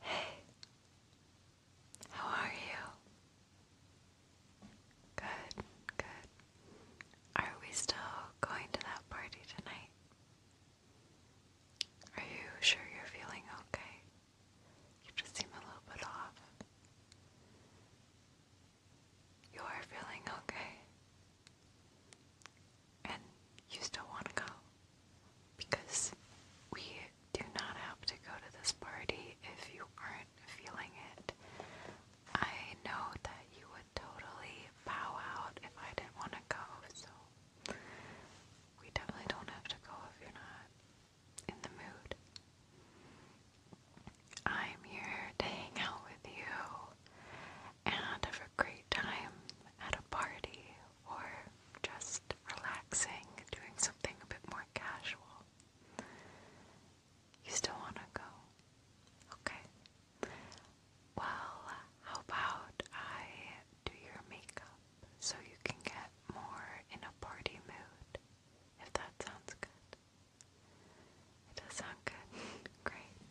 Hey, how are you? Good, good. Are we still going to that party tonight? Are you sure you're feeling okay? You just seem a little bit off. You are feeling okay and you still want to go because we do not have to go to this party if you aren't feeling it. I know that you would totally bow out if I didn't want to go, so we definitely don't have to go if you're not in the mood. I'm here to hang out with you and have a great time at a party or just relaxing, doing something a bit more casual. You still want to go? Okay. Well, how about I do your makeup so you can get more in a party mood, if that sounds good. It does sound good. Great.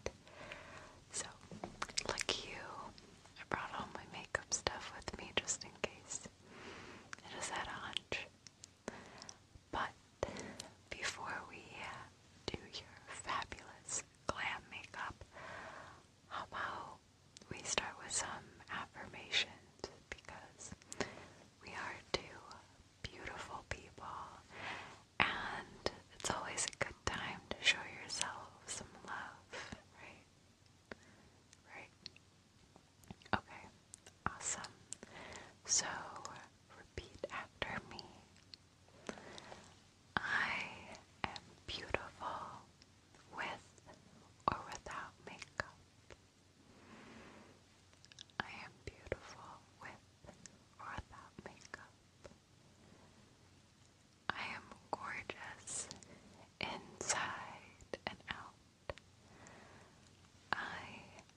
So, like you, I brought all my makeup stuff with me just in case. I just had a hunch. But before we uh, do your fabulous glam makeup, how about we start with some affirmations because we are two beautiful people and it's always a good time to show yourself some love right? Right. Okay. Awesome. So repeat after me. I am beautiful with or without makeup. I am beautiful with or without makeup. I am gorgeous inside and out. I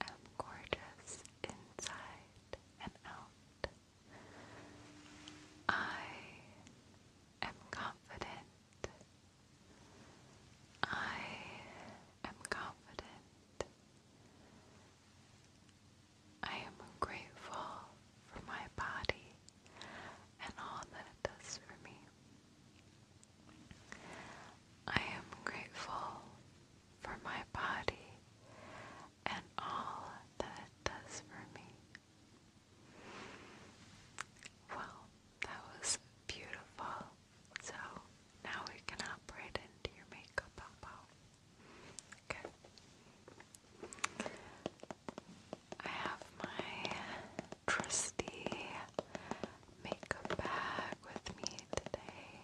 am gorgeous inside and out. I am confident. I am confident. I am grateful for my body and all that it does for me. I am grateful for my body and all that it does for me. Well, that was beautiful. So now we can hop into your makeup, Bobo. Okay. I have my trusty makeup bag with me today,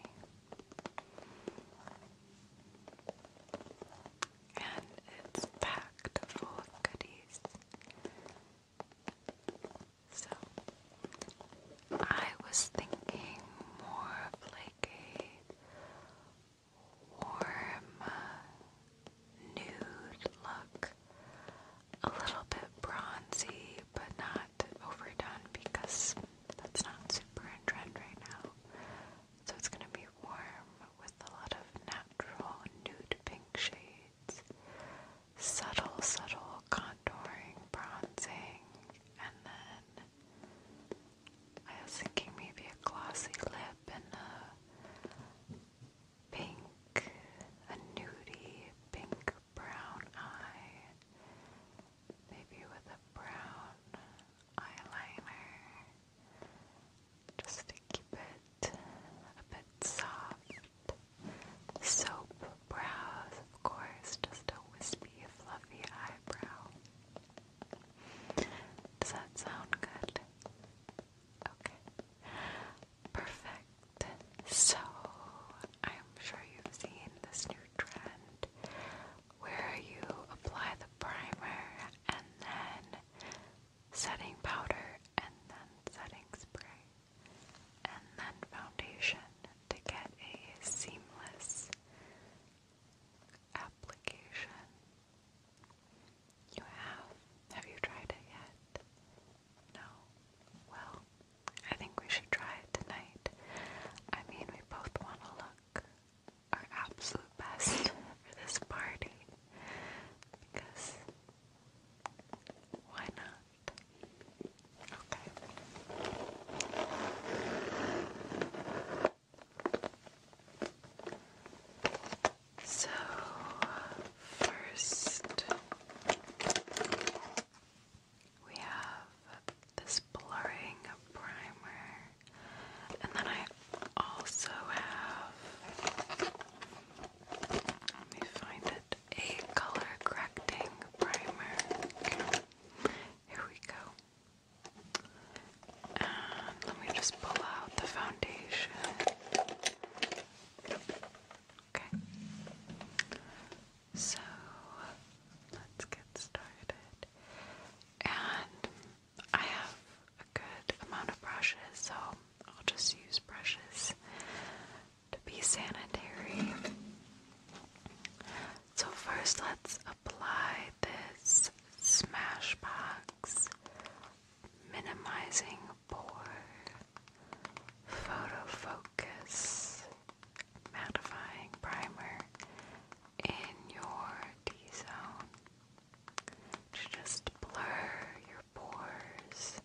and it's packed full of goodies. So, I was thinking more of like a warm nude look. A little bit bronzy, but not overdone because that's not super in trend right now. So it's going to be warm with a lot of natural nude pink shades, subtle, subtle contouring, bronzing, and then I was thinking maybe a glossy lip and a pink, a nudie pink brown eye, maybe with a brown eyeliner, just to keep it a bit soft. Soap brows, of course, just a wispy, fluffy eyebrow. Does that sound good? Okay. Perfect. So, I'm sure you've seen this new trend where you apply the primer and then setting powder and then setting spray and then foundation to get a seamless application. You have? Have you tried it yet? No? Well, I think we should try it tonight. I mean, we both want to look our absolute best for this party. Because, why not? Okay. So, first, we have this blurring primer, and then I also have, let me find it, a color correcting primer. Here we go let me just pull out the foundation. Okay. So let's get started. And I have a good amount of brushes, so I'll just use brushes to be sanitary. So, first, let's apply this Smashbox minimizing pores, photo focus, mattifying primer in your D zone to just blur your pores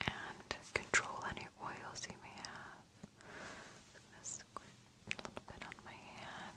and control any oils you may have. I'm a little bit on my hand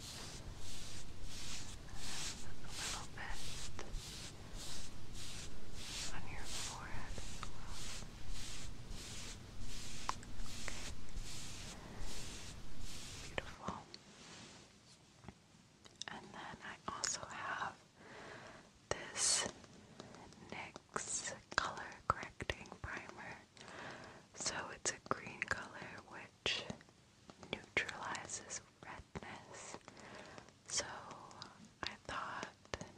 a little bit on your forehead Beautiful. And then I also have this NYX color correcting primer. So it's a green color, which neutralizes redness. So I thought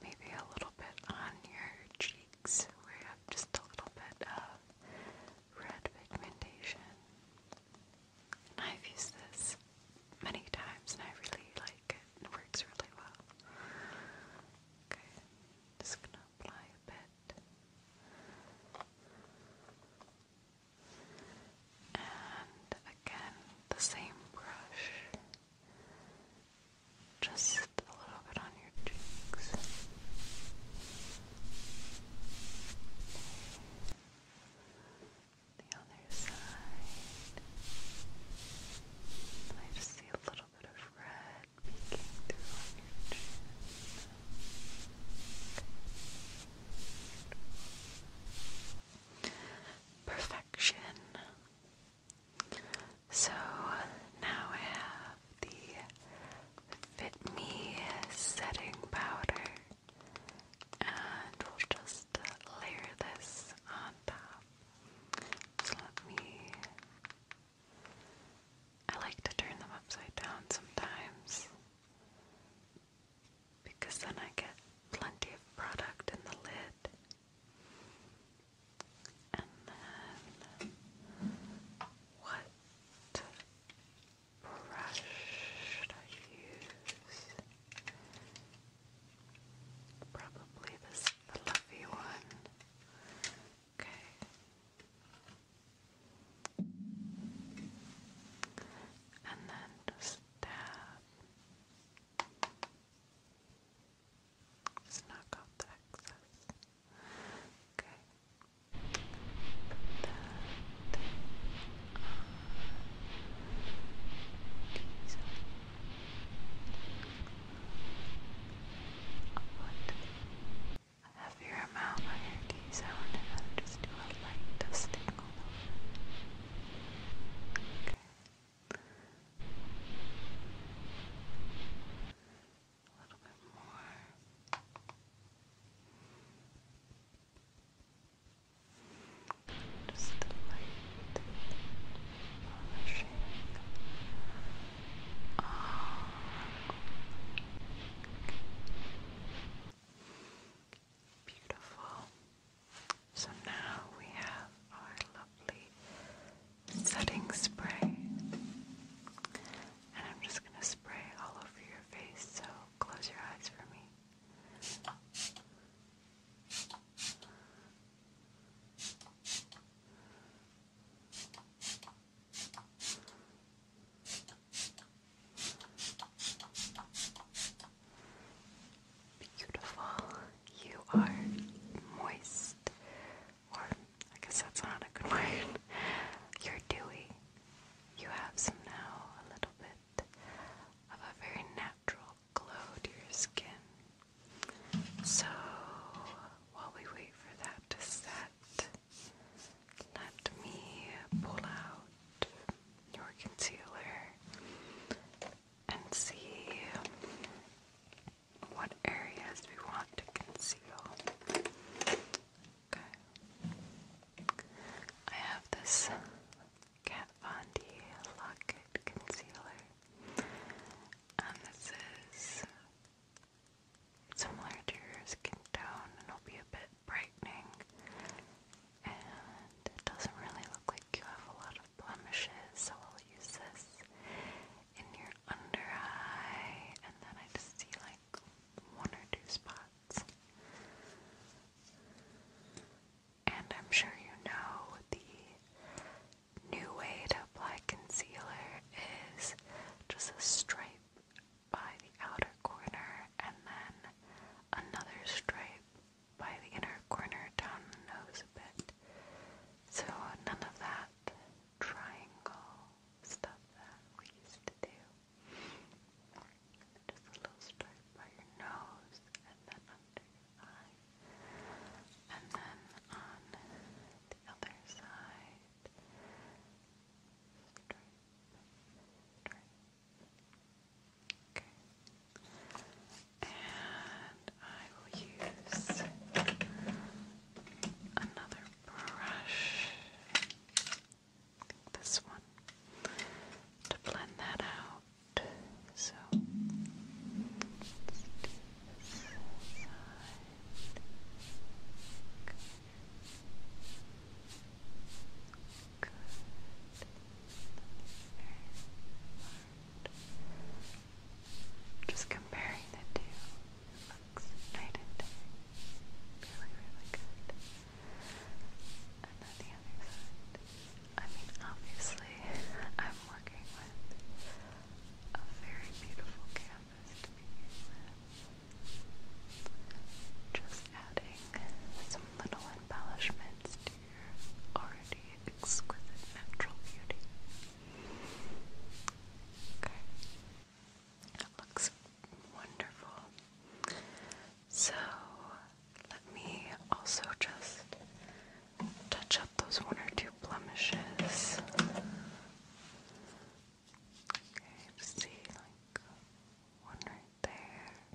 maybe a little bit on your cheeks where you have just a little bit of red pigmentation. And I've used this many times and I really like it. It works really well. Okay, just gonna apply a bit and again the same brush, just a little bit on your cheeks. The other side. I just see a little bit of red peeking through on your chin. Perfection. So now I have the Fit Me setting powder, and we'll just layer this on top. So let me. I like to turn them upside down sometimes because then I get plenty of product in the lid. And then what brush should I use? Probably this fluffy one. Okay and then stab. Just knock off the excess. Okay. Put that on a heavier amount sound and I'll just do a light dusting over. Okay. A little bit more. Just the light Oh, Beautiful. So now we have our lovely setting spray. And I'm just going to spray all over your face, so close your eyes for me. Beautiful. You are moist. Or, I guess that's not a good word. You're dewy. You have some now, a little bit of a very natural glow to your skin. So, while we wait for that to set, let me pull out your concealer and see what areas we want to conceal. Okay. I have this Kat Von D It Concealer, and this is similar to your skin tone and will be a bit brightening and it doesn't really look like you have a lot of blemishes, so I'll use this in your under eye, and then I just see like one or two spots. And I'm sure you know the new way to apply concealer is just a stripe by the outer corner and then another stripe by the inner corner down the nose a bit. So none of that triangle stuff that we used to do. Just a little stripe by your nose and then under your eye. And then on the other side, Okay. And I will use another brush. This one to blend that out. So this side. Just comparing the two, looks night and day. Really, really good. And then the other side. I mean, obviously, I'm working with a very beautiful canvas to begin with. Just adding some little embellishments to your already exquisite natural beauty. Okay. It looks wonderful. So let me also just touch up those one or two blemishes. Okay, see like one right there.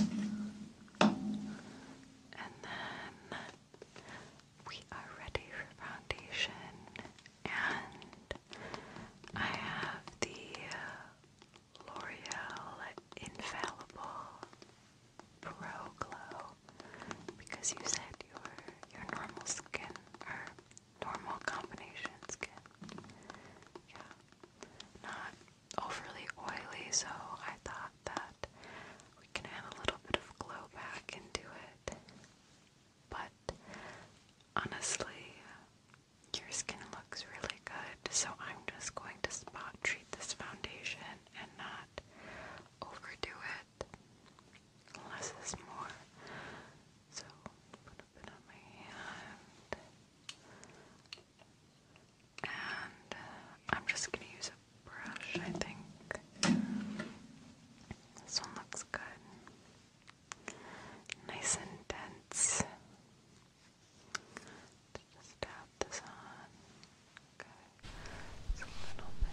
and then we are ready for foundation, and I have the L'Oreal Infallible Pro Glow because you said your your normal skin or normal combination skin. Yeah. Not overly oily, so I thought that we can add a little bit of glow back into it. But honestly, your skin looks really good, so I'm just going to spot treat this foundation and not overdo it. Less is more. So put a bit on my hand. And uh, I'm just gonna use a brush, I think. This one looks good. Nice and dense. Just tap this on. Okay. Just a little bit.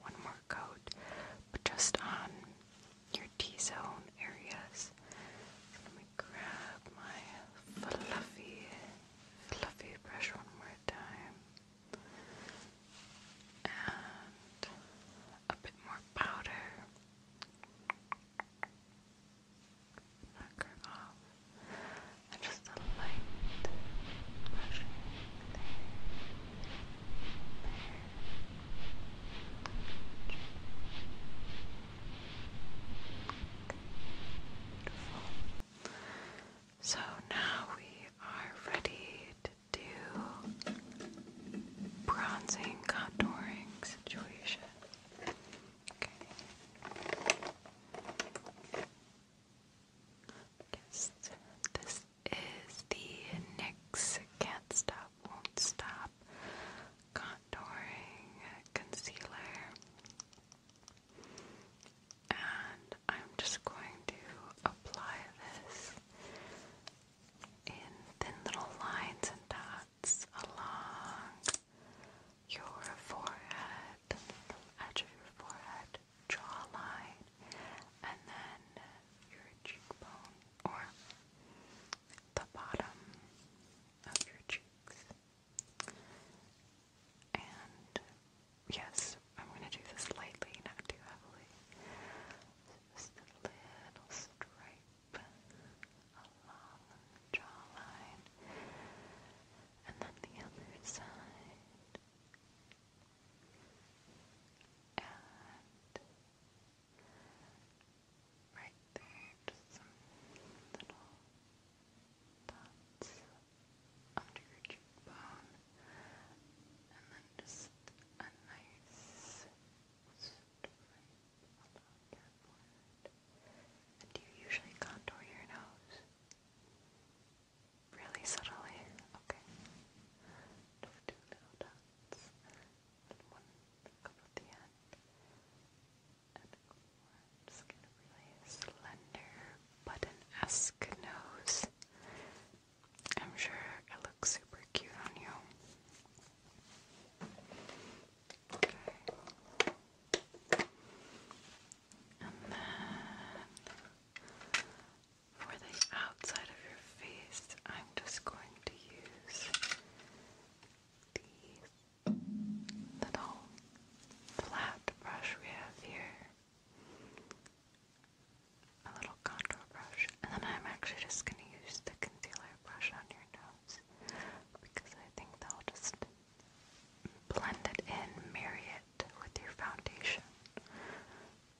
one more coat, but just on your T-zone areas. let me grab my fluffy, fluffy brush one more time. And a bit more powder. Knock her off. And just a light brushing so now we are ready to do bronzing contouring situation. Okay. Yes, this is the NYX Can't Stop, Won't Stop Contouring Concealer. And I'm just going to apply this in thin little lines and dots along your forehead, edge of your forehead jawline, and then your cheekbone or the bottom of your cheeks. And yes, I'm going to do this lightly, not too heavily. Just a little stripe along jawline, and then the other side. And right there, just some little dots under your cheekbone. And then just a nice stripe along your forehead. do you usually contour your nose? Really subtly. Okay. Just two little dots. And one at the end. And I'm just gonna really slender button-esque nose. I'm sure it looks super cute on you. Okay. And then for the outside of your face, I'm just going to use the little flat brush we have here. A little contour brush. And then I'm actually just going to use the concealer brush on your nose because I think that'll just blend it in, marry it with your foundation.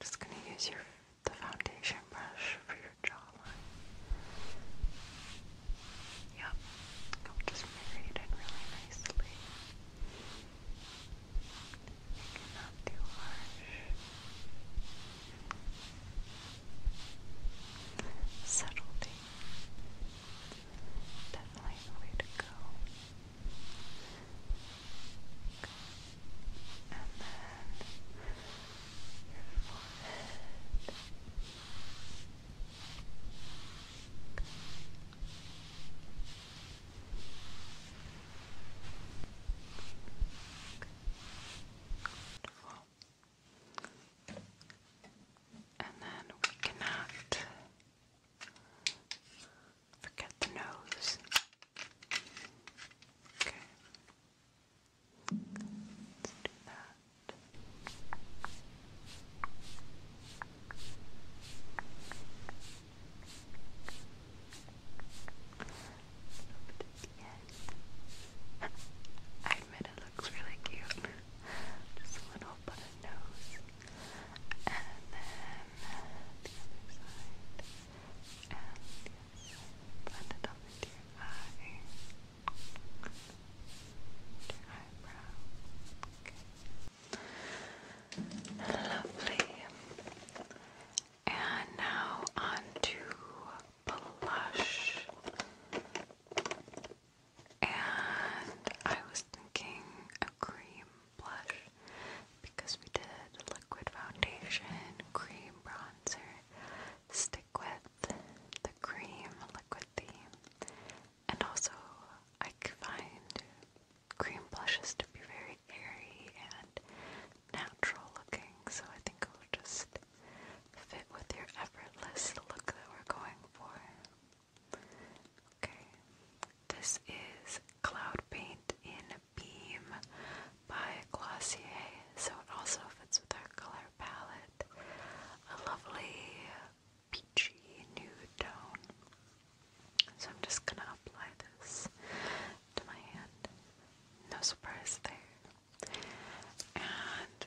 just going to use your the foundation brush for your jawline. Yep, just marry in really nicely. Make it not too harsh. Subtlety Definitely the way to go. Okay. And then your forehead. Okay. Okay. Wonderful. And then we cannot forget the nose. Okay. Let's do that. I admit side. It looks really cute. Just a little button nose. And then the other side. And yes, blend it up into your eye. your eyebrow. Lovely. And now on blush. And I was thinking a cream blush because we did liquid foundation, cream bronzer, stick with the cream liquid theme. And also, I find cream blushes to be very airy and natural looking, so I think I'll just fit with your effortless look that we're going for. Okay, this is Cloud Paint in Beam by Glossier, so it also fits with our color palette. A lovely peachy nude tone. So I'm just gonna apply this to my hand. No surprise there. And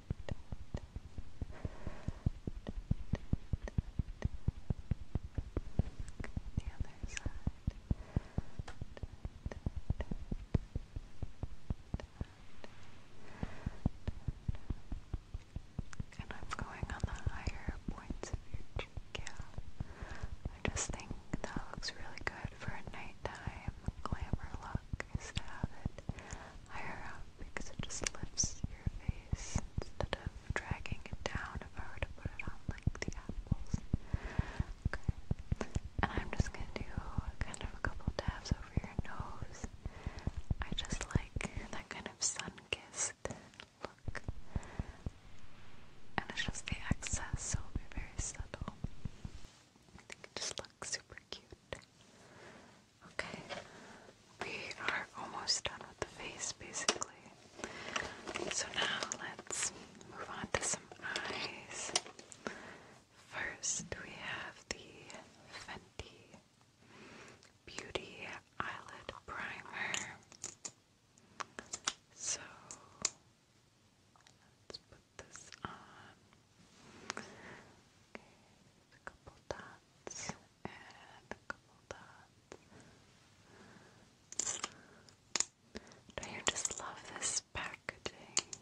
The other side. And I'm going on the higher points of your cheek. Yeah. I just think that looks really good for a nighttime glamour look is to it higher up because it just lifts your face instead of dragging it down if I were to put it on like the apples. And I'm just gonna do kind of a couple dabs over your nose. I just like that kind of sun-kissed look. And it's just the excess, so it'll be very subtle. I think it just looks super cute. Okay, we are almost done with the face basically. So now let's move on to some eyes. First, we have the Fenty Beauty Eyelid Primer. So let's put this on. Okay, a couple dots and a couple dots. do you just love this packaging?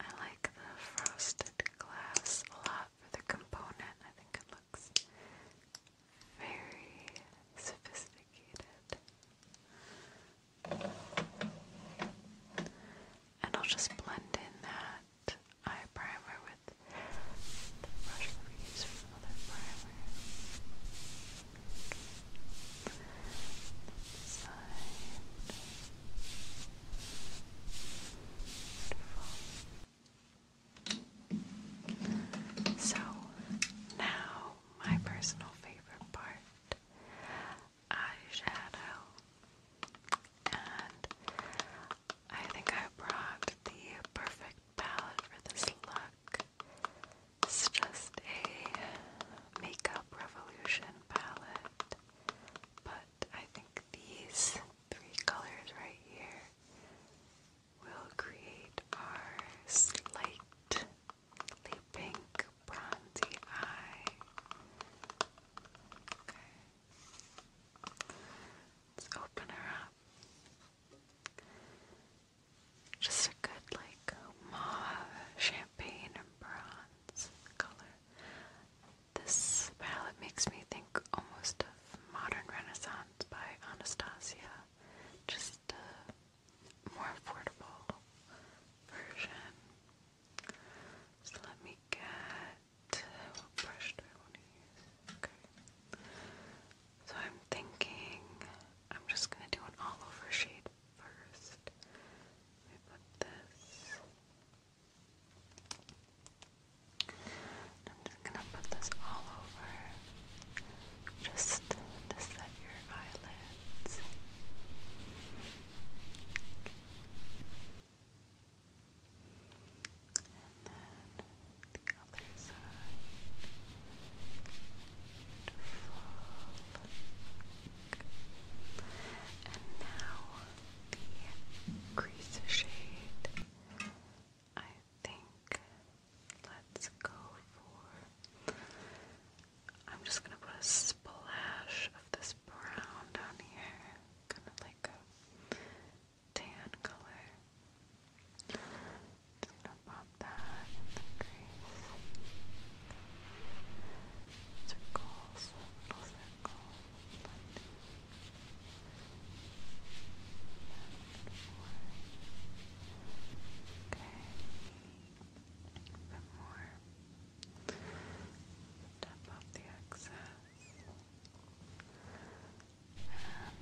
I like the frosted glass a lot for the component. I think it looks very sophisticated and I'll just blend in that eye primer with the brush that use for another primer. So now my personal favorite part eyeshadow. And I think I brought the perfect palette for this look. It's just a makeup revolution palette. But I think these three colors right here will create our slightly pink bronzy eye. Okay. Let's open her up. Just a good, like, mauve, champagne, and bronze color. This palette makes me think almost of Modern Renaissance by Anastasia. Just a more affordable version. So let me get what brush do I want to use? Okay. So I'm thinking I'm just gonna do an all-over shade first. Let me put this. I'm just gonna put this all over. Just to set your eyelids. And then the other side and now the crease shade I think let's go for I'm just gonna put a splash of this this brown down here, kind of like a tan color. Just gonna pop that in the crease. Circles, little circles. and four. Okay. A bit more. Tap off the excess. And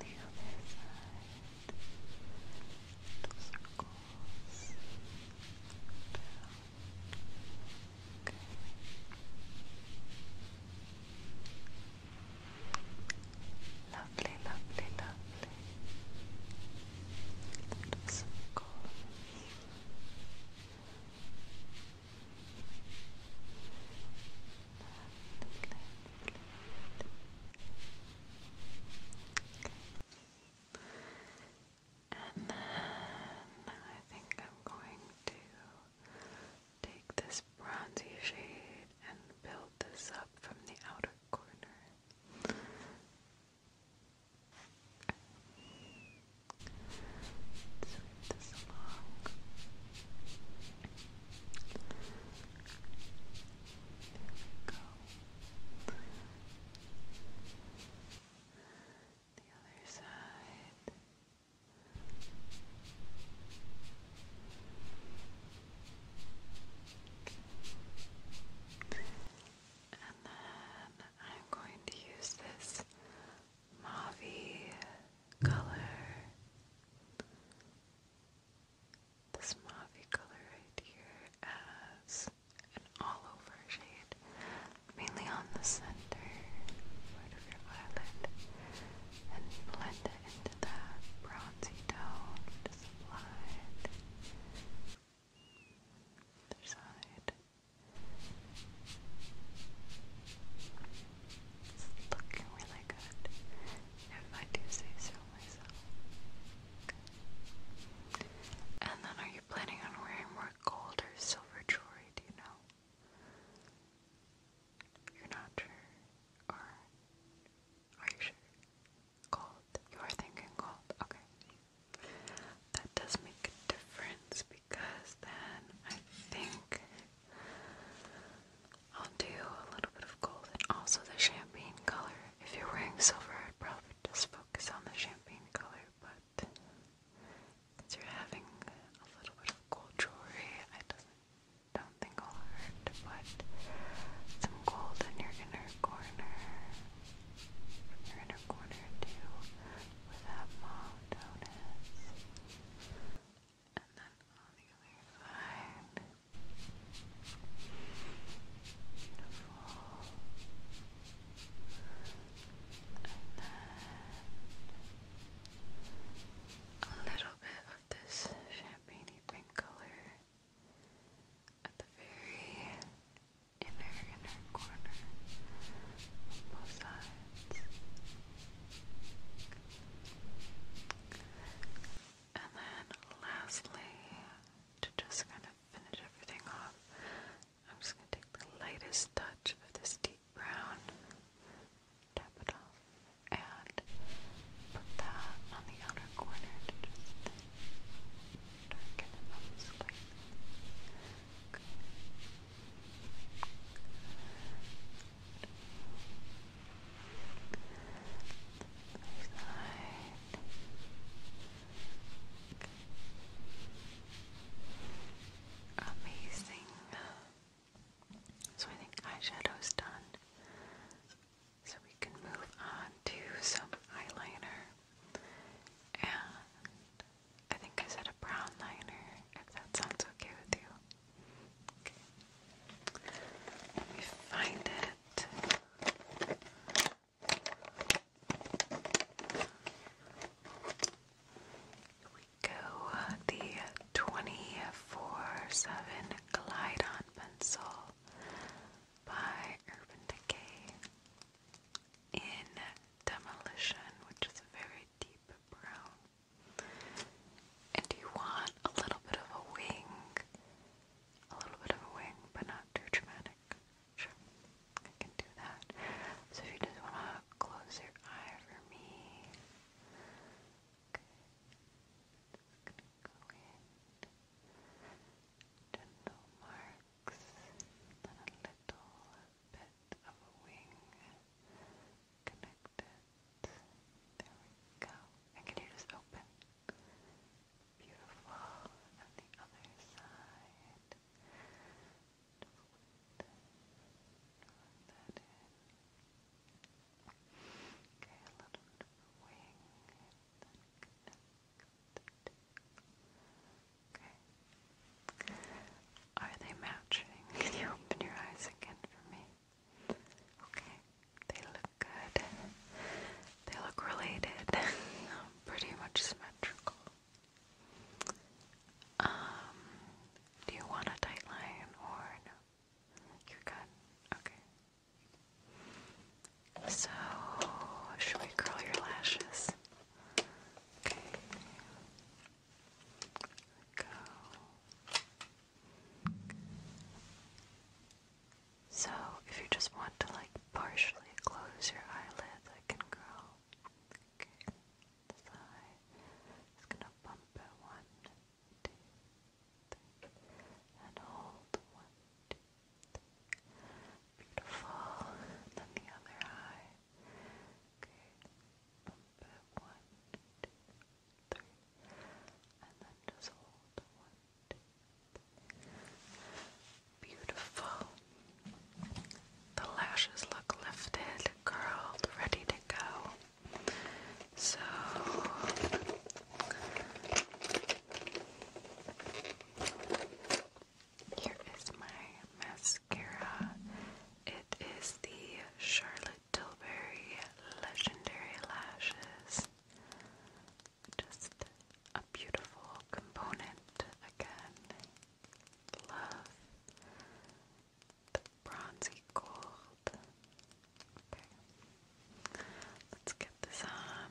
the other side. Little circles. Okay. Lovely, lovely, lovely. Little circles. And then I think I'm going to take this bronzy shade and build this up from the outer corner. Let's this along. There we go. The other side. And then I'm going to use this mauvey color. This mauvey color right here as an all-over shade, mainly on the center part of your eyelid, and blend it into that bronzy tone we applied. Other side. It's looking really good, if I do say so myself. And then, are you planning on wearing more gold or silver jewelry? Do you know? You're not sure, or are you sure? Gold. You are thinking gold. Okay. That does make a difference because then I think I'll do a little bit of gold and also the champagne color. If you're wearing silver, I'd probably just focus on the champagne color, but since you're having a little bit of gold jewelry, I don't think I'll hurt to put some gold in your inner corner, your inner corner too, with notice. And then on the other side. And then a little bit of this champagne pink color at the very inner, inner corner on both sides. And then lastly, to just kind of finish everything off, I'm just going to take the lightest touch of this deep brown, tap it off, and put that on the outer corner to just darken it up slightly. Amazing. So I think eyeshadow's done. So we can move on to some eyeliner and I think I said a brown liner, if that sounds okay with you. Let me find it. We go the 24-7 Glide-On Pencil by Urban Decay in Demolition, which is a very deep brown. And you want a little bit of a wing. A little bit of a wing, but not too dramatic. Sure, I can do that. So if you just want to close your eye for me. Okay. Just gonna go in. Gentle marks. And a little bit of a wing connected. There we go. And can you just open? Beautiful. And the other side. a little wing. And then connect. Okay. Are they matching? Can you open your eyes again for me? Okay. They look good. They look related. Um, pretty much symmetrical. Um, do you want a tight line or no? You're good. Okay. So, should we curl your lashes? Okay go. So, if you just want to like partially close your eyelids, I can go. Okay, this eye. Just gonna bump it one, two, three, and hold one, two, three. Beautiful. then the other eye. Okay, one, two, three, and then just hold one, two, three. Beautiful. The lashes look lifted, curled, ready to go. So. Here is my mascara mascara. It is the Charlotte Tilbury Legendary Lashes. Just a beautiful component again. Love the bronzy gold. Okay. Let's get this on.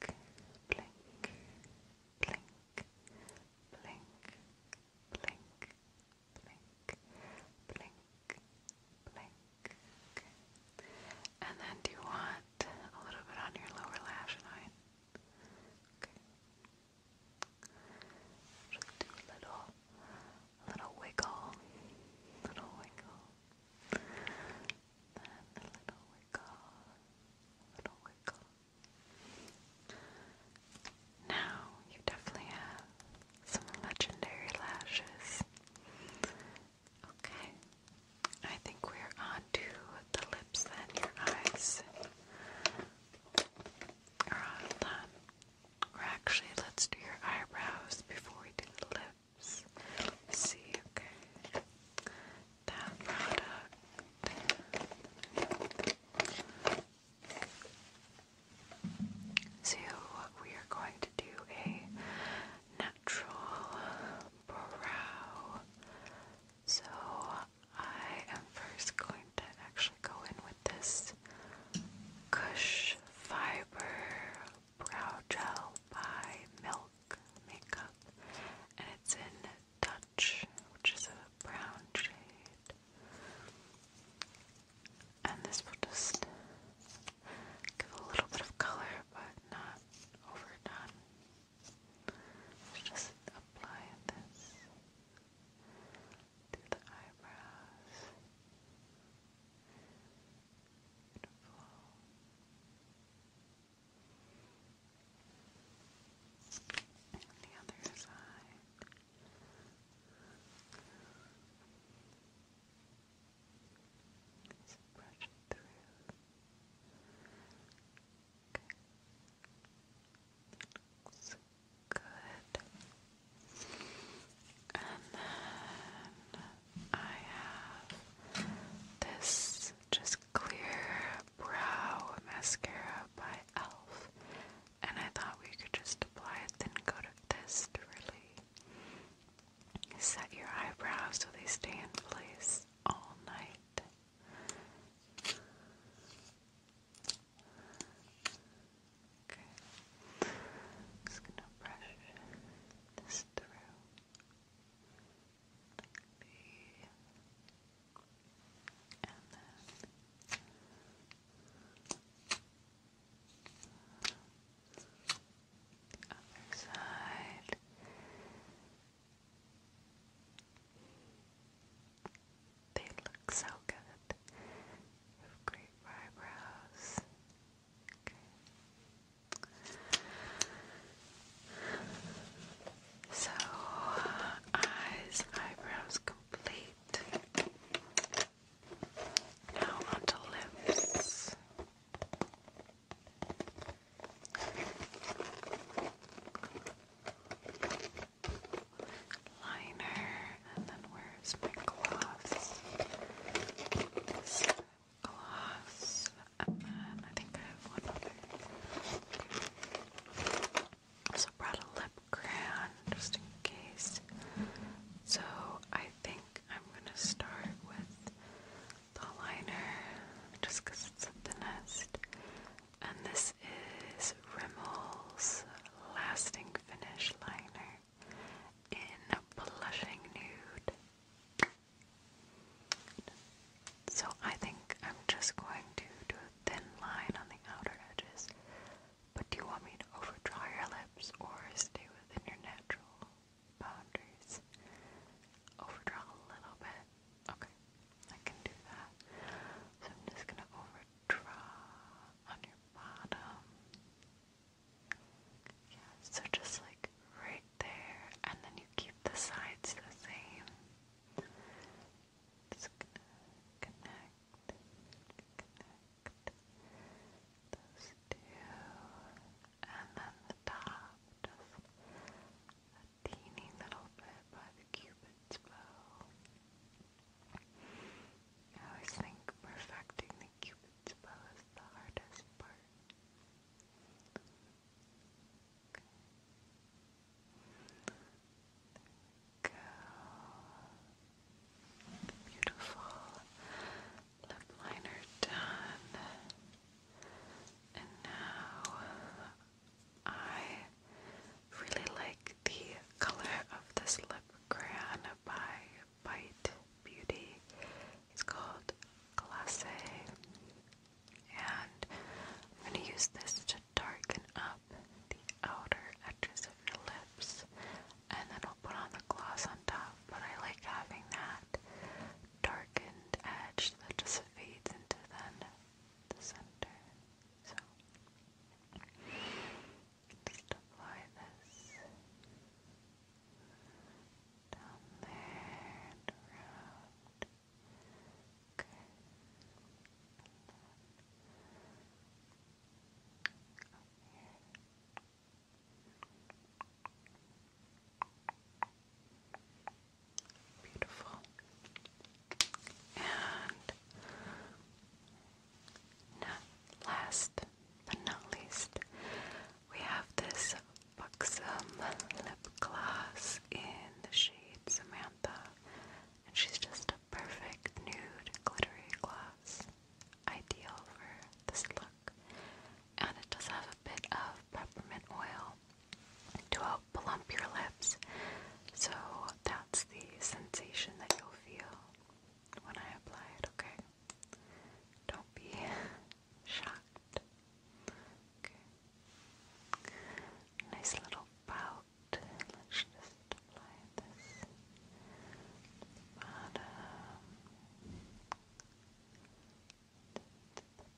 blink, blink, blink, blink, blink, blink, blink. Okay. And then do you want a little bit on your lower lash line? Okay. Just do a little, a little wiggle, little wiggle then a little wiggle, a little wiggle. Now you definitely have some legendary lashes. Okay, I think we're on the lips and your eyes. Alright, hold on. Or actually, let's do your eyebrows before we do the lips let's see, okay, that product. So we are going to do a natural brow. So I am first going to actually go in with this Cush Fiber Brow Gel by Milk Makeup, and it's in Dutch, which is a brown shade. And this will just give a little bit of color, but not overdone. Just apply this to the eyebrows. Beautiful. And the other side. Just brush through. Okay. good. And then I have this just clear brow mascara by e.l.f. and I thought we could just apply a thin coat of this to really set your eyebrows so they stay in place all night. Okay. Just gonna brush this through. B, and other side. They look so good. great eyebrows. So, eyes, eyebrows complete. Now onto lips. Liner, and then where's my gloves? gloss, and then I think I have one Also brought a lip crayon just in case. So I think I'm gonna start with the liner just it's the thinnest. And this is Rimmel's Lasting Finish Liner in Blushing Nude. So I think I'm just going to do a thin line on the outer edges. But do you want me to overdraw your lips or stay within your natural boundaries? Overdraw a little bit. Okay, I can do that. So I'm just gonna overdraw on your bottom. Yeah, so just like right there, and then you keep the sides the same. Just connect, connect those two, and then the top, just a teeny little bit by the cupid's bow. I always think perfecting the cupid's bow is the hardest part. Beautiful lip liner done. And now I really like the color of this lip crayon by Bite Beauty. It's called Glacé. And I'm going to use this to darken up the outer edges of your lips. And then I'll put on the gloss on top. But I like having that darkened edge that just fades into then the center. So just apply this down there and around. Beautiful. And last but not least, we have this Buxom lip gloss in the shade Samantha, and she's just a perfect nude glittery gloss, ideal for this look. And it does have a bit of peppermint oil to help plump your lips, so that's the sensation that you'll feel when I apply it. Okay, don't be shocked. Okay. Nice little bout. Let's just apply this bottom the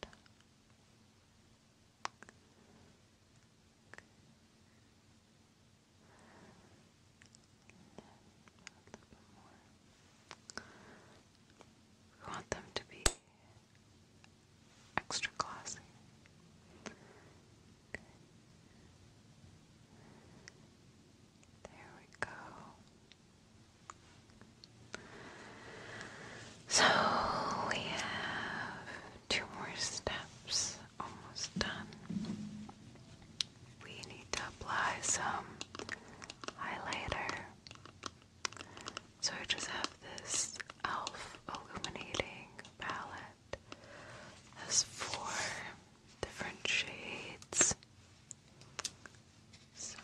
top. want them to be extra glossy. There we go. So we have two more steps almost done. We need to apply some highlighter. So I just have this e.l.f. illuminating palette. Has four different shades. So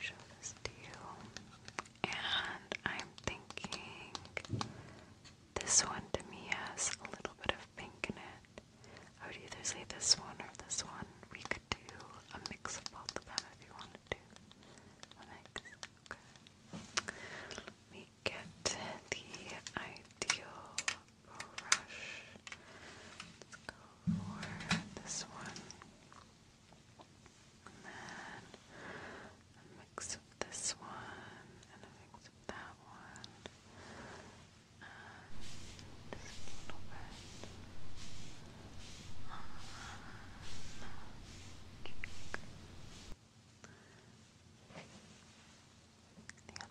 show this to you. And I'm thinking this one to me has a little bit of pink in it. I would either say this one or this one. We could do a mix of both of them if you want to Let me get the ideal brush. Let's go for this one. And a mix of this one and a mix of that one. just a little bit. The other side. And a little bit on the tip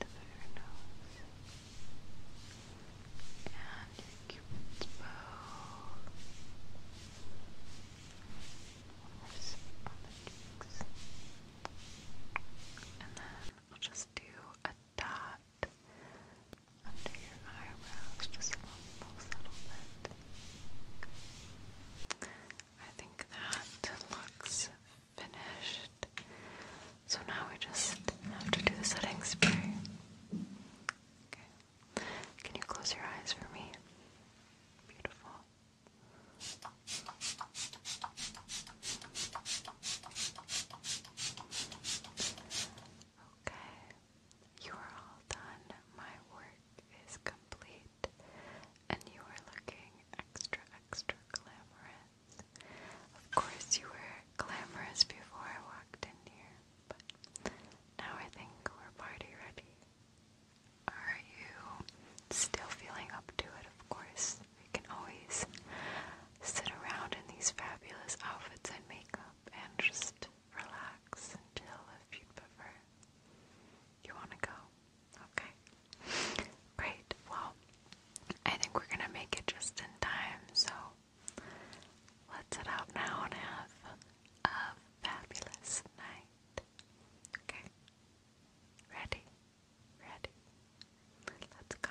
of your nose. And your cupid's bow. And then I'll just do a dot under your eyebrows, just a little settlement. I think that looks finished. So now we just have to do the setting spray. Okay. Can you close your eyes for me? Beautiful. Okay, you are all done. My work is complete, and you are looking extra, extra glamorous. Of course, you were glamorous before I walked in here, but now I think we're party ready. Are you still feeling up to it? Of course, we can always sit around in these fabulous outfits and makeup and just relax until, if you prefer. You want to go? Okay. Great. Well, I think we're going to make it just in time, so let's head out now and have a fabulous night. Okay. Ready? Ready? Let's go.